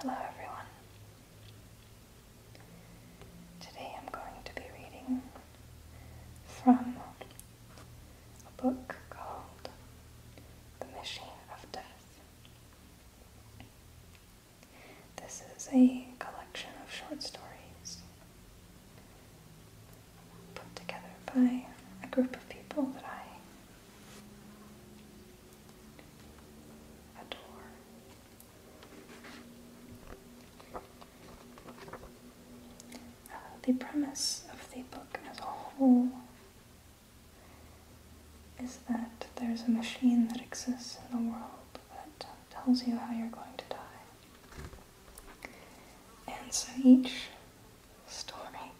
Hello everyone. Today I'm going to be reading from a book called The Machine of Death. This is a collection of short stories put together by a group of people that I adore. Uh, the premise of the book as a whole is that there's a machine that exists in the world that tells you how you're going to die. And so each story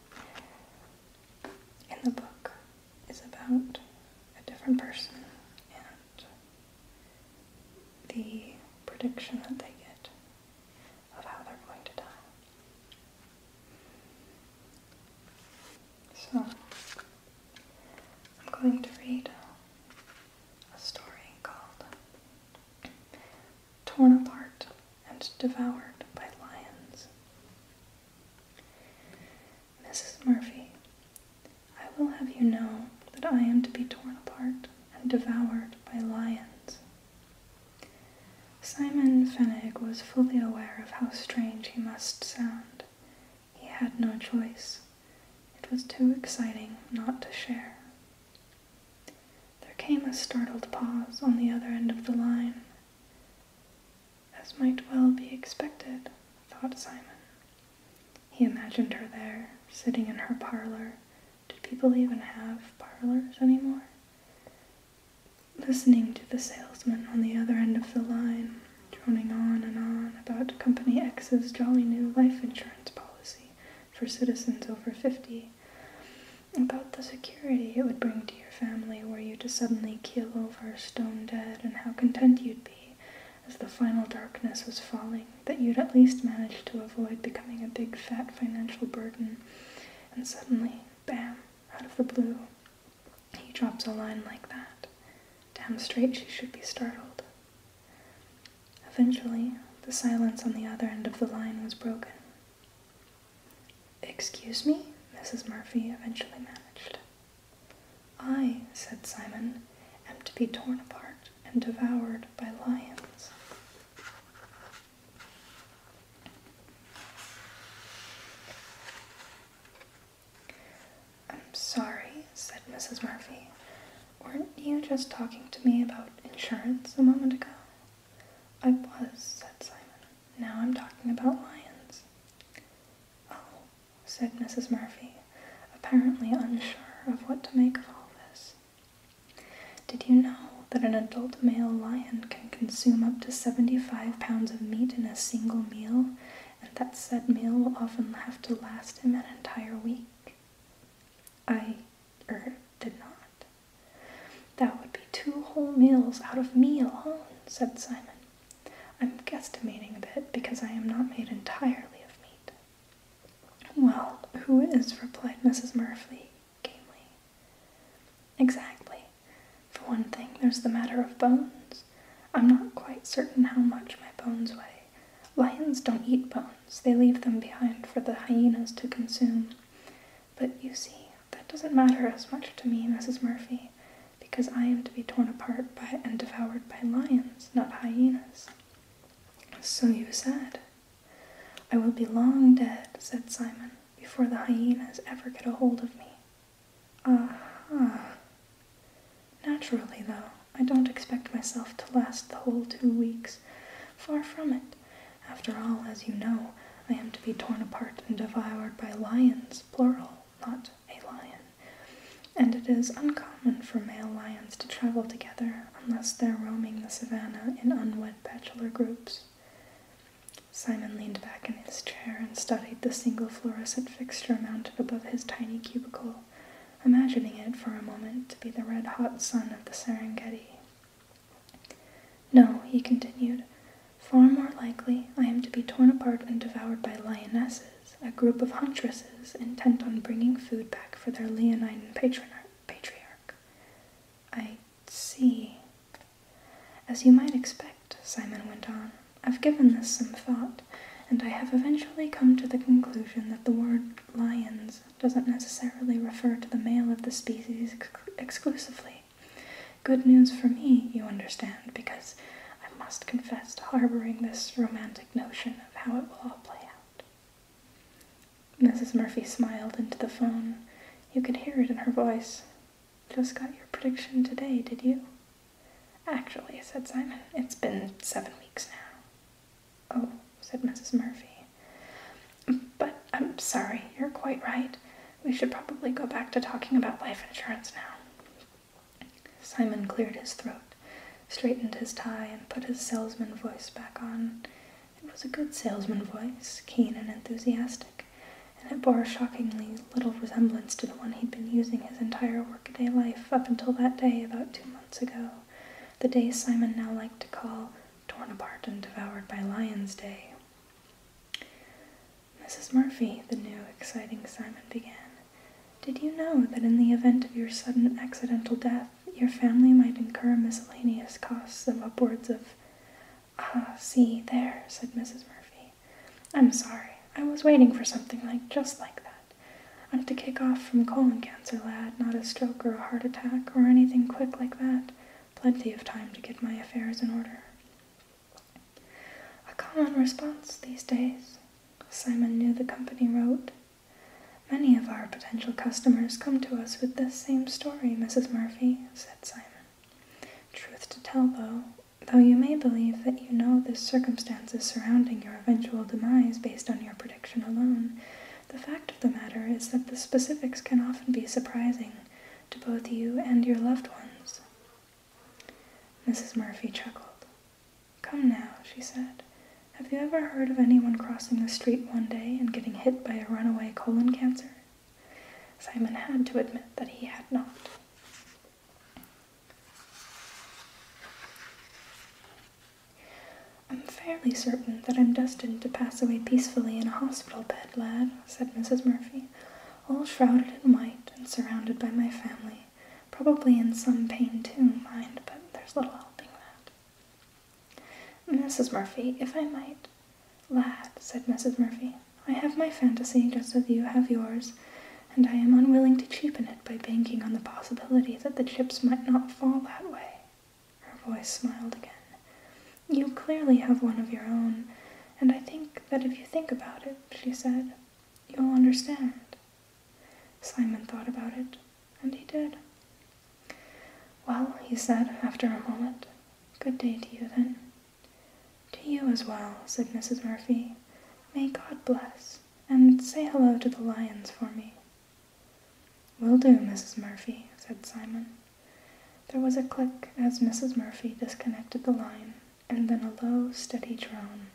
in the book is about a different person and the prediction that they get of how they're going to die. So, I'm going to read a story called Torn Apart and Devoured by Lions. Mrs. Murphy, I will have you know that I am to be torn apart and devoured by lions. Simon Fennig was fully aware of how strange he must sound. He had no choice. It was too exciting not to share. There came a startled pause on the other end of the line. As might well be expected, thought Simon. He imagined her there, sitting in her parlor. Did people even have parlors any more? Listening to the salesman on the other end of the line, droning on and on about Company X's jolly new life insurance policy for citizens over 50, about the security it would bring to your family were you to suddenly keel over stone dead, and how content you'd be as the final darkness was falling, that you'd at least manage to avoid becoming a big fat financial burden. And suddenly, bam, out of the blue, he drops a line like that. Damn straight she should be startled. Eventually, the silence on the other end of the line was broken. Excuse me? Mrs. Murphy eventually managed. I, said Simon, am to be torn apart and devoured by lions. I'm sorry, said Mrs. Murphy. Weren't you just talking to me about insurance a moment ago? I was, said Simon. Now I'm talking about lions. Oh, said Mrs. Murphy, apparently unsure of what to make of all this. Did you know that an adult male lion can consume up to 75 pounds of meat in a single meal, and that said meal will often have to last him an entire week? I er, did not. That would be two whole meals out of me alone, said Simon. I'm guesstimating a bit because I am not made entirely of meat. Well, who is? replied Mrs. Murphy gamely. Exactly. For one thing, there's the matter of bones. I'm not quite certain how much my bones weigh. Lions don't eat bones, they leave them behind for the hyenas to consume. But you see, that doesn't matter as much to me, Mrs. Murphy, because I am to be torn apart by and devoured by lions, not hyenas. So you said. I will be long dead, said Simon, before the hyenas ever get a hold of me. Aha. Naturally, though, I don't expect myself to last the whole two weeks. Far from it. After all, as you know, I am to be torn apart and devoured by lions, plural, not a lion. And it is uncommon for male lions to travel together unless they're roaming the savannah in unwed bachelor groups. Simon leaned back in his chair and studied the single fluorescent fixture mounted above his tiny cubicle imagining it for a moment to be the red hot sun of the Serengeti. No, he continued, far more likely I am to be torn apart and devoured by lionesses, a group of huntresses intent on bringing food back for their leonine patriarch. I see. As you might expect, Simon went on, I've given this some thought and I have eventually come to the conclusion that the word lions doesn't necessarily refer to the male of the species exclusively. Good news for me, you understand, because I must confess to harboring this romantic notion of how it will all play out. Mrs. Murphy smiled into the phone. You could hear it in her voice. Just got your prediction today, did you? Actually, said Simon, it's been seven weeks now. Oh, said Mrs. Murphy. But I'm sorry, you're quite right. We should probably go back to talking about life insurance now. Simon cleared his throat, straightened his tie, and put his salesman voice back on. It was a good salesman voice, keen and enthusiastic, and it bore a shockingly little resemblance to the one he'd been using his entire Day life up until that day about two months ago, the day Simon now liked to call torn apart and devoured by lions day. Mrs. Murphy, the new, exciting Simon began, did you know that in the event of your sudden accidental death, your family might incur miscellaneous costs of upwards of. Ah, see, there, said Mrs. Murphy. I'm sorry. I was waiting for something like just like that. I'd have to kick off from colon cancer, lad, not a stroke or a heart attack or anything quick like that. Plenty of time to get my affairs in order. A common response these days, Simon knew the company wrote. Many of our potential customers come to us with this same story, Mrs. Murphy, said Simon. Truth to tell, though, though you may believe that you know the circumstances surrounding your eventual demise based on your prediction alone, the fact of the matter is that the specifics can often be surprising to both you and your loved ones. Mrs. Murphy chuckled. Come now, she said. Have you ever heard of anyone crossing the street one day and getting hit by a runaway colon cancer? Simon had to admit that he had not. I'm fairly certain that I'm destined to pass away peacefully in a hospital bed, lad, said Mrs. Murphy, all shrouded in white and surrounded by my family. Probably in some pain too, mind, but there's little helping that. Mrs. Murphy, if I might. Lad, said Mrs. Murphy, I have my fantasy just as you have yours, and I am unwilling to cheapen it by banking on the possibility that the chips might not fall that way. Her voice smiled again. You clearly have one of your own, and I think that if you think about it, she said, you'll understand. Simon thought about it, and he did. Well, he said after a moment, good day to you then. To you as well, said Mrs. Murphy. May God bless and say hello to the lions for me. Will do, Mrs. Murphy, said Simon. There was a click as Mrs. Murphy disconnected the line, and then a low, steady drone.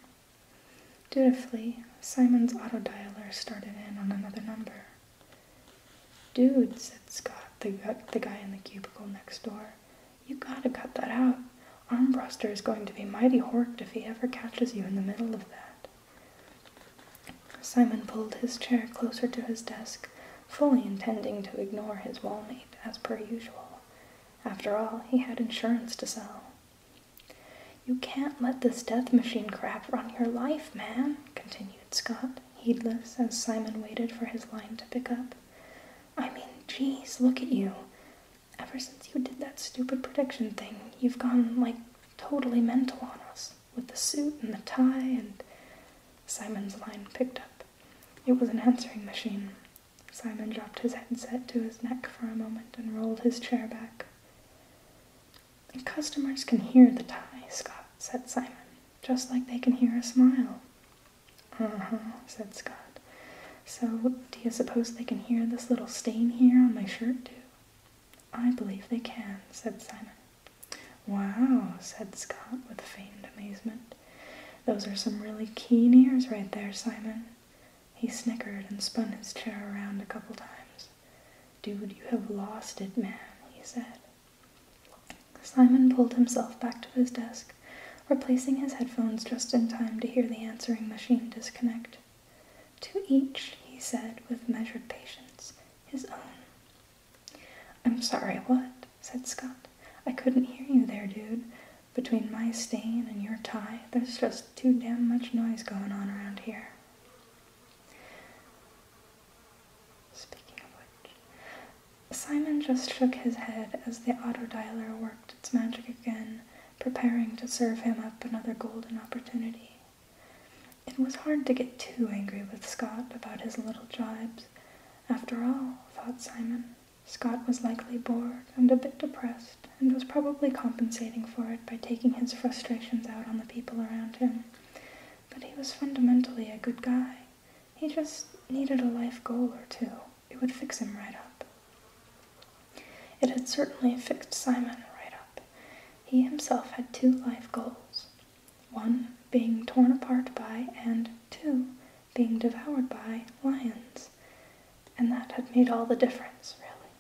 Dutifully, Simon's autodialer started in on another number. Dude, said Scott, the, uh, the guy in the cubicle next door, you gotta cut that out. Armbruster is going to be mighty horked if he ever catches you in the middle of that. Simon pulled his chair closer to his desk, fully intending to ignore his wallmate as per usual. After all, he had insurance to sell. You can't let this death machine crap run your life, man, continued Scott, heedless as Simon waited for his line to pick up. I mean, geez, look at you. Ever since you did that stupid prediction thing, you've gone like totally mental on us with the suit and the tie and. Simon's line picked up. It was an answering machine. Simon dropped his headset to his neck for a moment and rolled his chair back. The customers can hear the tie, Scott, said Simon, just like they can hear a smile. Uh-huh, said Scott. So, do you suppose they can hear this little stain here on my shirt, too? I believe they can, said Simon. Wow, said Scott with feigned amazement. Those are some really keen ears right there, Simon. He snickered and spun his chair around a couple times. Dude, you have lost it, man, he said. Simon pulled himself back to his desk replacing his headphones just in time to hear the answering machine disconnect. To each, he said with measured patience, his own. I'm sorry, what? said Scott. I couldn't hear you there, dude. Between my stain and your tie, there's just too damn much noise going on around here. Speaking of which, Simon just shook his head as the autodialer worked its magic again, preparing to serve him up another golden opportunity. It was hard to get too angry with Scott about his little jibes. After all, thought Simon, Scott was likely bored and a bit depressed, and was probably compensating for it by taking his frustrations out on the people around him. But he was fundamentally a good guy. He just needed a life goal or two it would fix him right up. It had certainly fixed Simon right up. He himself had two life goals one being torn apart by, and two being devoured by, lions. And that had made all the difference, really.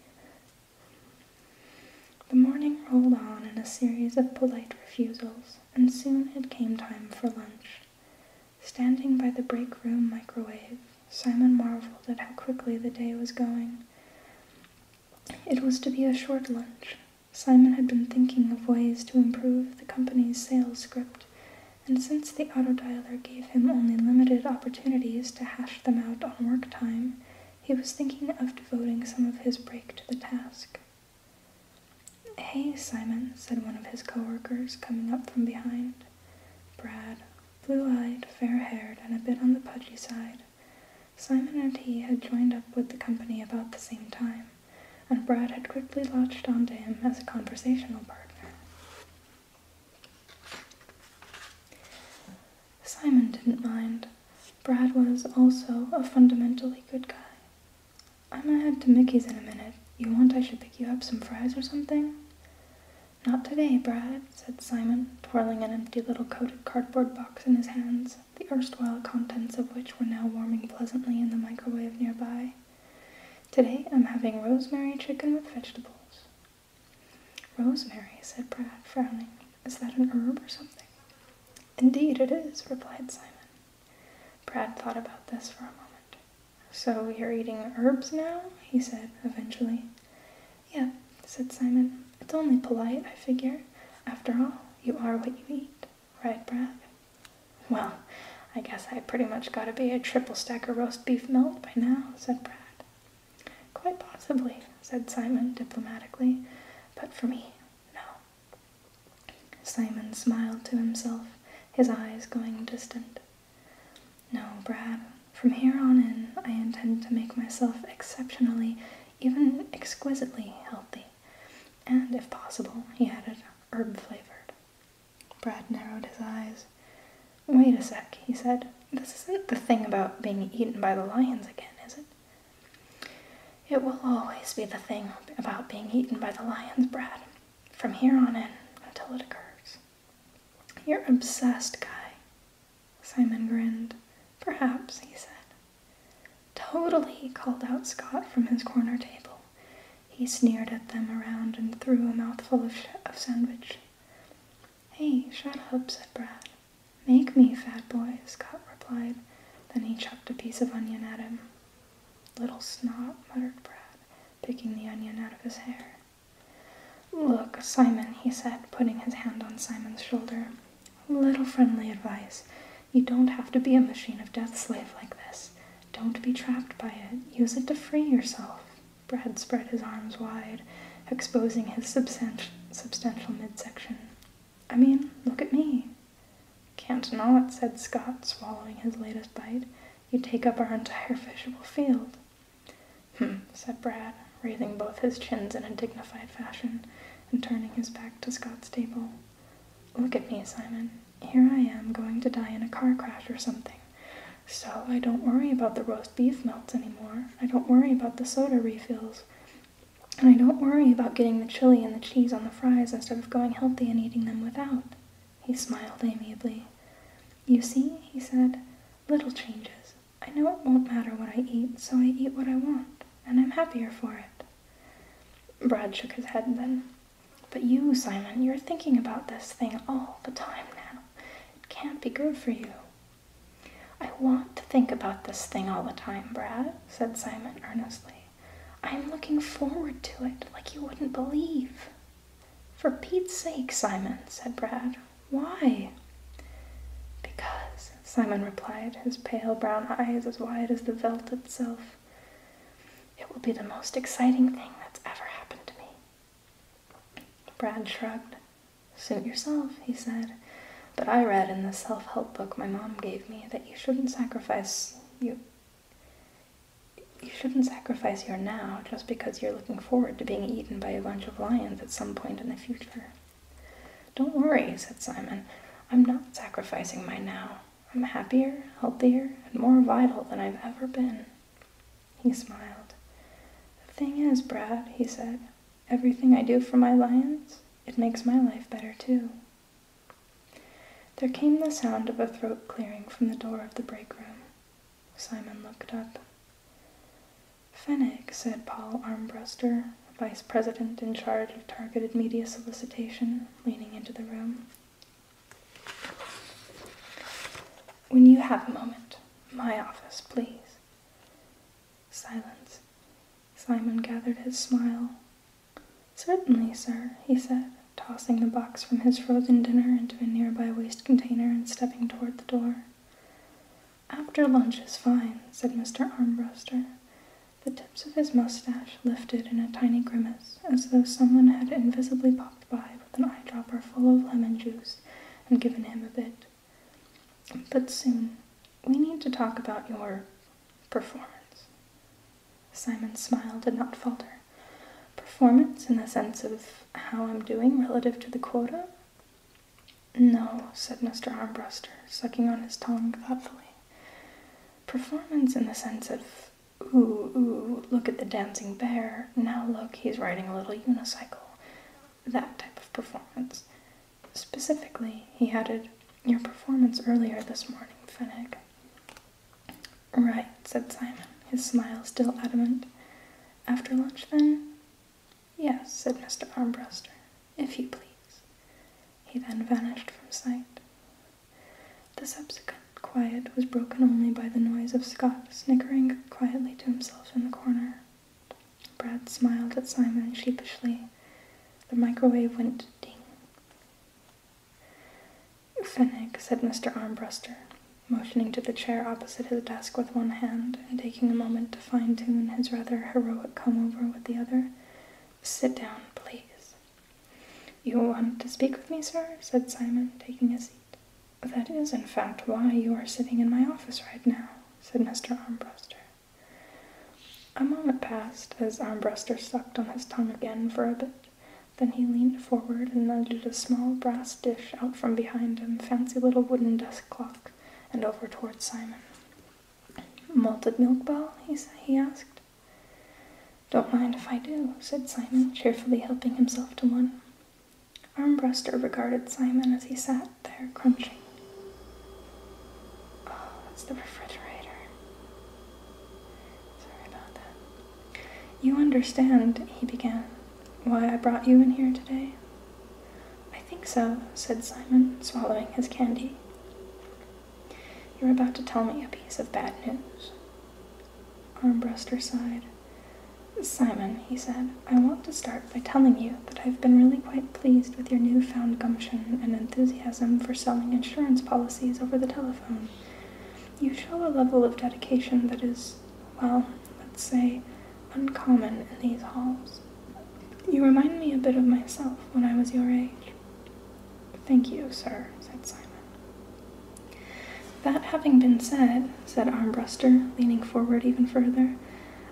The morning rolled on in a series of polite refusals, and soon it came time for lunch. Standing by the break room microwave, Simon marveled at how quickly the day was going. It was to be a short lunch. Simon had been thinking of ways to improve the company's sales script, and since the auto dialer gave him only limited opportunities to hash them out on work time, he was thinking of devoting some of his break to the task. Hey, Simon, said one of his coworkers, coming up from behind. Brad, blue-eyed, fair-haired, and a bit on the pudgy side. Simon and he had joined up with the company about the same time, and Brad had quickly latched onto him as a conversational partner. Simon didn't mind. Brad was also a fundamentally good guy. I'm going head to Mickey's in a minute. You want I should pick you up some fries or something? Not today, Brad, said Simon, twirling an empty little coated cardboard box in his hands, the erstwhile contents of which were now warming pleasantly in the microwave nearby. Today I'm having rosemary chicken with vegetables. Rosemary, said Brad, frowning. Is that an herb or something? Indeed it is, replied Simon. Brad thought about this for a moment. So you're eating herbs now? he said eventually. Yeah, said Simon. It's only polite, I figure. After all, you are what you eat, right, Brad? Well, I guess I pretty much gotta be a triple stacker roast beef melt by now, said Brad. Quite possibly, said Simon diplomatically, but for me, no. Simon smiled to himself, his eyes going distant. No, Brad, from here on in, I intend to make myself exceptionally, even exquisitely healthy. And if possible, he added, herb flavored. Brad narrowed his eyes. Wait a sec, he said. This isn't the thing about being eaten by the lions again, is it? It will always be the thing about being eaten by the lions, Brad from here on in until it occurs. You're obsessed, Guy. Simon grinned. Perhaps, he said. Totally, called out Scott from his corner table. He sneered at them around and threw a mouthful of, of sandwich. Hey, shut up, said Brad. Make me, fat boy, Scott replied. Then he chucked a piece of onion at him. Little snob, muttered Brad, picking the onion out of his hair. Look, Simon, he said, putting his hand on Simon's shoulder. Little friendly advice. You don't have to be a machine of death slave like this. Don't be trapped by it. Use it to free yourself. Brad spread his arms wide, exposing his substantial midsection. I mean, look at me. Can't not, said Scott, swallowing his latest bite. You take up our entire fishable field. Hm, said Brad, raising both his chins in a dignified fashion and turning his back to Scott's table. Look at me, Simon. Here I am going to die in a car crash or something. So I don't worry about the roast beef melts anymore. I don't worry about the soda refills. And I don't worry about getting the chili and the cheese on the fries instead of going healthy and eating them without. He smiled amiably. You see, he said, little changes. I know it won't matter what I eat, so I eat what I want, and I'm happier for it. Brad shook his head then. But you, Simon, you're thinking about this thing all the time now. It can't be good for you. I want to think about this thing all the time, Brad, said Simon earnestly. I'm looking forward to it like you wouldn't believe. For Pete's sake, Simon, said Brad. Why? Because, Simon replied, his pale brown eyes as wide as the veld itself. It will be the most exciting thing that's ever happened to me. Brad shrugged. Suit yourself, he said. But I read in the self help book my mom gave me that you shouldn't sacrifice you you shouldn't sacrifice your now just because you're looking forward to being eaten by a bunch of lions at some point in the future. Don't worry, said Simon. I'm not sacrificing my now. I'm happier, healthier, and more vital than I've ever been. He smiled. The thing is, Brad, he said, everything I do for my lions, it makes my life better too. There came the sound of a throat clearing from the door of the break room. Simon looked up. Fenwick said Paul Armbruster, vice president in charge of targeted media solicitation, leaning into the room. When you have a moment, my office, please. Silence. Simon gathered his smile, Certainly, sir, he said, tossing the box from his frozen dinner into a nearby waste container and stepping toward the door. After lunch is fine, said Mr. Armbruster. The tips of his mustache lifted in a tiny grimace, as though someone had invisibly popped by with an eyedropper full of lemon juice and given him a bit. But soon, we need to talk about your performance. Simon's smile did not falter. Performance in the sense of how I'm doing relative to the quota? No, said Mr. Armbruster, sucking on his tongue thoughtfully. Performance in the sense of, ooh, ooh, look at the dancing bear, now look, he's riding a little unicycle. That type of performance. Specifically, he added, your performance earlier this morning, Fennec, Right, said Simon, his smile still adamant. After lunch, then? Yes, said Mr. Armbruster, if you please. He then vanished from sight. The subsequent quiet was broken only by the noise of Scott snickering quietly to himself in the corner. Brad smiled at Simon sheepishly. The microwave went ding. Fenwick said Mr. Armbruster, motioning to the chair opposite his desk with one hand and taking a moment to fine tune his rather heroic comb over with the other, sit down, please. You want to speak with me, sir? said Simon, taking a seat. That is, in fact, why you are sitting in my office right now, said Mr. Armbruster. A moment passed as Armbruster sucked on his tongue again for a bit. Then he leaned forward and nudged a small brass dish out from behind a fancy little wooden desk clock, and over towards Simon. Malted milk ball? He, he asked. Don't mind if I do, said Simon, cheerfully helping himself to one. Armbruster regarded Simon as he sat there crunching. Oh, that's the refrigerator. Sorry about that. You understand, he began, why I brought you in here today? I think so, said Simon, swallowing his candy. You're about to tell me a piece of bad news. Armbruster sighed. Simon, he said, I want to start by telling you that I've been really quite pleased with your newfound gumption and enthusiasm for selling insurance policies over the telephone. You show a level of dedication that is, well, let's say, uncommon in these halls. You remind me a bit of myself when I was your age. Thank you, sir, said Simon. That having been said, said Armbruster, leaning forward even further,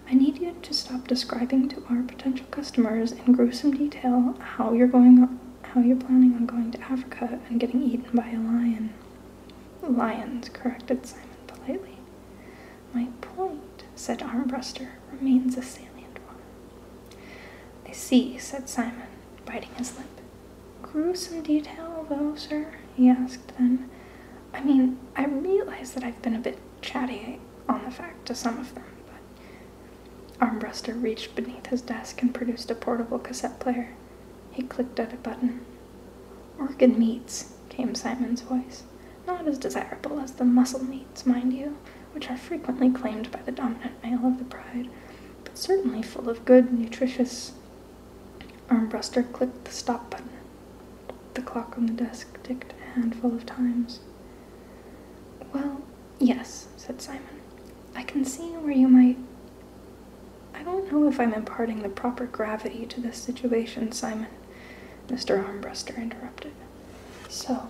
I need you to stop describing to our potential customers in gruesome detail how you're going how you're planning on going to Africa and getting eaten by a lion. Lions, corrected Simon politely. My point, said Armbruster, remains a salient one. I see, said Simon, biting his lip. Gruesome detail, though, sir, he asked then. I mean, I realize that I've been a bit chatty on the fact to some of them, but Armbruster reached beneath his desk and produced a portable cassette player. He clicked at a button. Organ meats, came Simon's voice. Not as desirable as the muscle meats, mind you, which are frequently claimed by the dominant male of the pride, but certainly full of good, nutritious. Armbruster clicked the stop button. The clock on the desk ticked a handful of times. Well, Yes, said Simon. I can see where you might. I don't know if I'm imparting the proper gravity to this situation, Simon, Mr. Armbruster interrupted. So,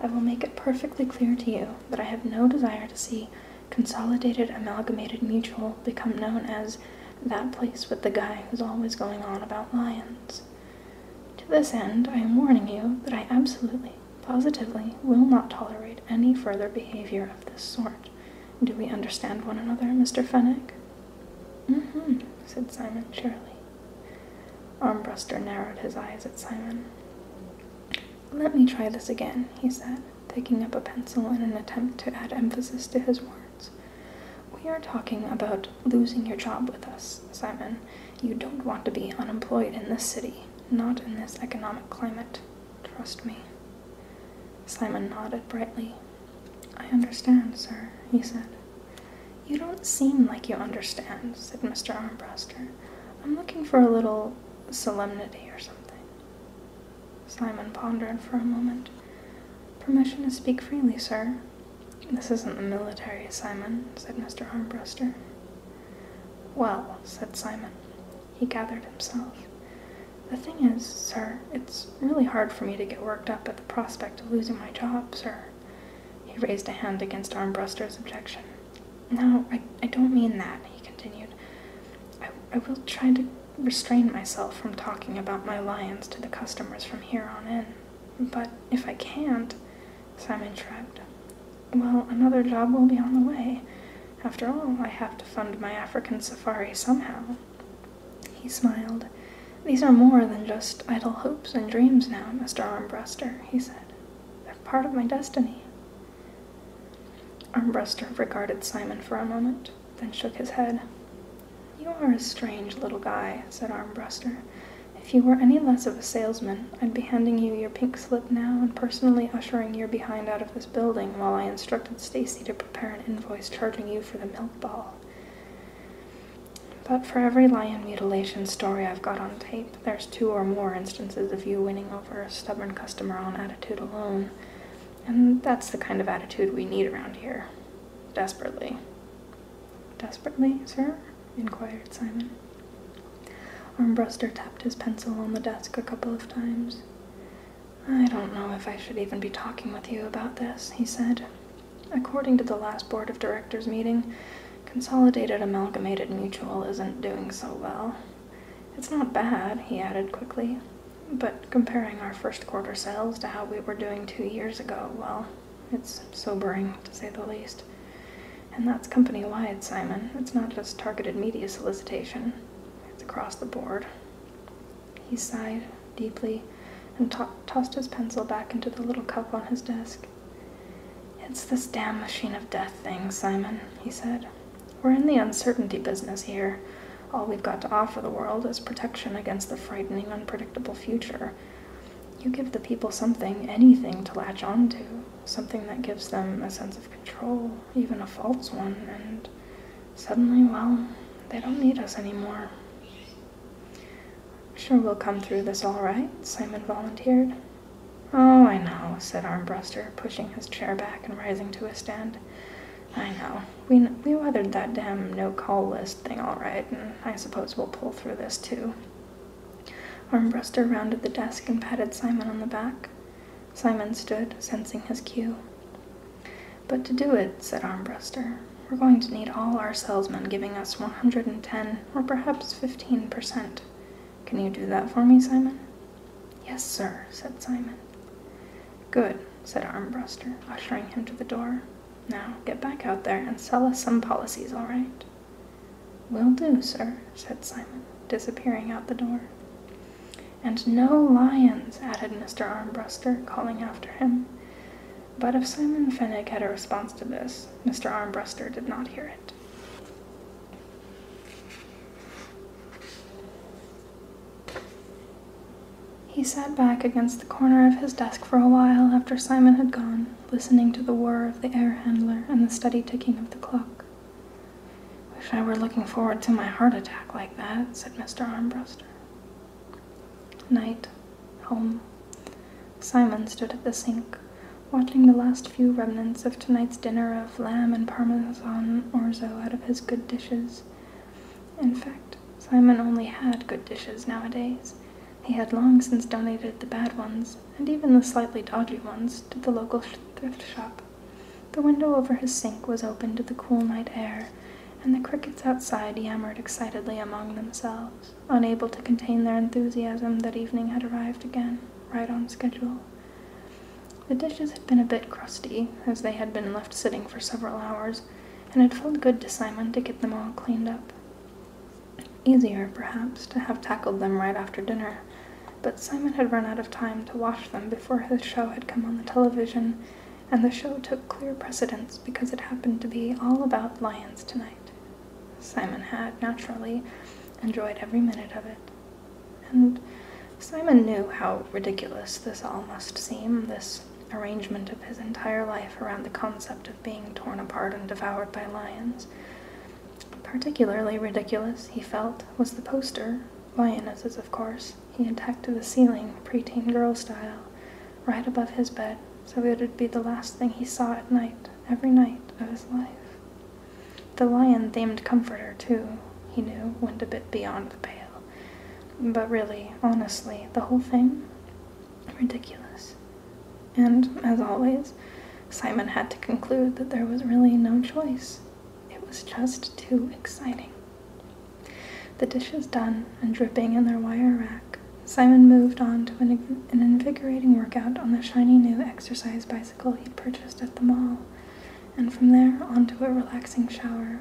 I will make it perfectly clear to you that I have no desire to see Consolidated Amalgamated Mutual become known as that place with the guy who's always going on about lions. To this end, I am warning you that I absolutely, positively will not tolerate any further behavior of this sort. Do we understand one another, Mr. Fenwick? Mm hmm, said Simon cheerily. Armbruster narrowed his eyes at Simon. Let me try this again, he said, picking up a pencil in an attempt to add emphasis to his words. We are talking about losing your job with us, Simon. You don't want to be unemployed in this city, not in this economic climate. Trust me. Simon nodded brightly. I understand, sir, he said. You don't seem like you understand, said Mr. Armbruster. I'm looking for a little solemnity or something. Simon pondered for a moment. Permission to speak freely, sir, this isn't the military Simon said Mr. Armbruster. Well, said Simon. He gathered himself. The thing is, sir, it's really hard for me to get worked up at the prospect of losing my job, sir. He raised a hand against Armbruster's objection. No, I, I don't mean that, he continued. I, I will try to restrain myself from talking about my lions to the customers from here on in. But if I can't, Simon shrugged, well, another job will be on the way. After all, I have to fund my African safari somehow. He smiled. These are more than just idle hopes and dreams now, Mr. Armbruster, he said. They're part of my destiny. Armbruster regarded Simon for a moment, then shook his head. You are a strange little guy, said Armbruster. If you were any less of a salesman, I'd be handing you your pink slip now and personally ushering your behind out of this building while I instructed Stacy to prepare an invoice charging you for the milk ball. But for every lion mutilation story I've got on tape, there's two or more instances of you winning over a stubborn customer on attitude alone. And that's the kind of attitude we need around here. Desperately. Desperately, sir? inquired Simon. Armbruster tapped his pencil on the desk a couple of times. I don't know if I should even be talking with you about this, he said. According to the last board of directors meeting, Consolidated Amalgamated Mutual isn't doing so well. It's not bad, he added quickly, but comparing our first quarter sales to how we were doing two years ago, well, it's sobering, to say the least. And that's company wide, Simon. It's not just targeted media solicitation, it's across the board. He sighed deeply and tossed his pencil back into the little cup on his desk. It's this damn machine of death thing, Simon, he said. We're in the uncertainty business here. All we've got to offer the world is protection against the frightening, unpredictable future. You give the people something, anything to latch onto, something that gives them a sense of control, even a false one, and suddenly, well, they don't need us anymore. Sure, we'll come through this all right, Simon volunteered. Oh, I know, said Armbruster, pushing his chair back and rising to his stand. I know we, we weathered that damn no-call list thing all right, and I suppose we'll pull through this too. Armbruster rounded the desk and patted Simon on the back. Simon stood, sensing his cue. But to do it, said Armbruster, we're going to need all our salesmen giving us 110 or perhaps 15%. Can you do that for me, Simon? Yes, sir, said Simon. Good, said Armbruster, ushering him to the door. Now, get back out there and sell us some policies, all right? Will do, sir, said Simon, disappearing out the door. And no lions, added Mr. Armbruster, calling after him. But if Simon Fenwick had a response to this, Mr. Armbruster did not hear it. He sat back against the corner of his desk for a while after Simon had gone, listening to the whir of the air handler and the steady ticking of the clock. Wish I were looking forward to my heart attack like that, said Mr. Armbruster. Night, home. Simon stood at the sink, watching the last few remnants of tonight's dinner of lamb and parmesan orzo out of his good dishes. In fact, Simon only had good dishes nowadays. He had long since donated the bad ones, and even the slightly dodgy ones, to the local thrift shop. The window over his sink was open to the cool night air, and the crickets outside yammered excitedly among themselves, unable to contain their enthusiasm that evening had arrived again, right on schedule. The dishes had been a bit crusty, as they had been left sitting for several hours, and it felt good to Simon to get them all cleaned up. Easier, perhaps, to have tackled them right after dinner, but Simon had run out of time to wash them before the show had come on the television, and the show took clear precedence because it happened to be all about lions tonight. Simon had, naturally, enjoyed every minute of it. And Simon knew how ridiculous this all must seem, this arrangement of his entire life around the concept of being torn apart and devoured by lions. Particularly ridiculous, he felt, was the poster, lionesses, of course, he had tacked to the ceiling, preteen girl style, right above his bed, so it would be the last thing he saw at night, every night of his life. The lion themed comforter, too, he knew, went a bit beyond the pale. But really, honestly, the whole thing? Ridiculous. And, as always, Simon had to conclude that there was really no choice. It was just too exciting. The dishes done and dripping in their wire rack, Simon moved on to an, invigorating workout on the shiny new exercise bicycle he'd purchased at the mall, and from there onto a relaxing shower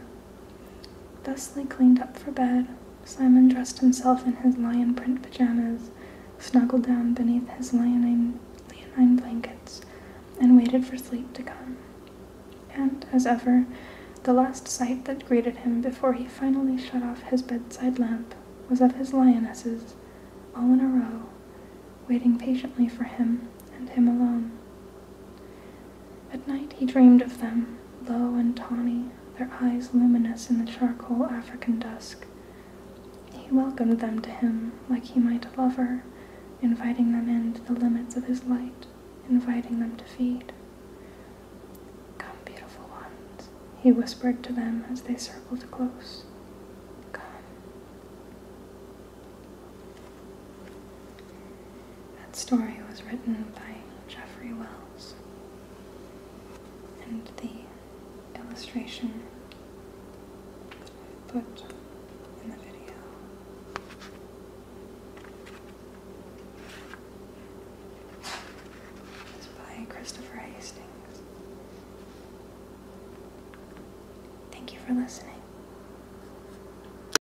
Thusly cleaned up for bed, Simon dressed himself in his lion print pajamas, snuggled down beneath his lionine leonine blankets, and waited for sleep to come. And, as ever, the last sight that greeted him before he finally shut off his bedside lamp was of his lionesses, all in a row, waiting patiently for him and him alone. At night he dreamed of them, low and tawny, their eyes luminous in the charcoal African dusk. He welcomed them to him like he might a lover, inviting them in to the limits of his light, inviting them to feed. Come, beautiful ones, he whispered to them as they circled close. Come. That story was written by Jeffrey Wells, and the illustration that I put in the video. is by Christopher Hastings. Thank you for listening.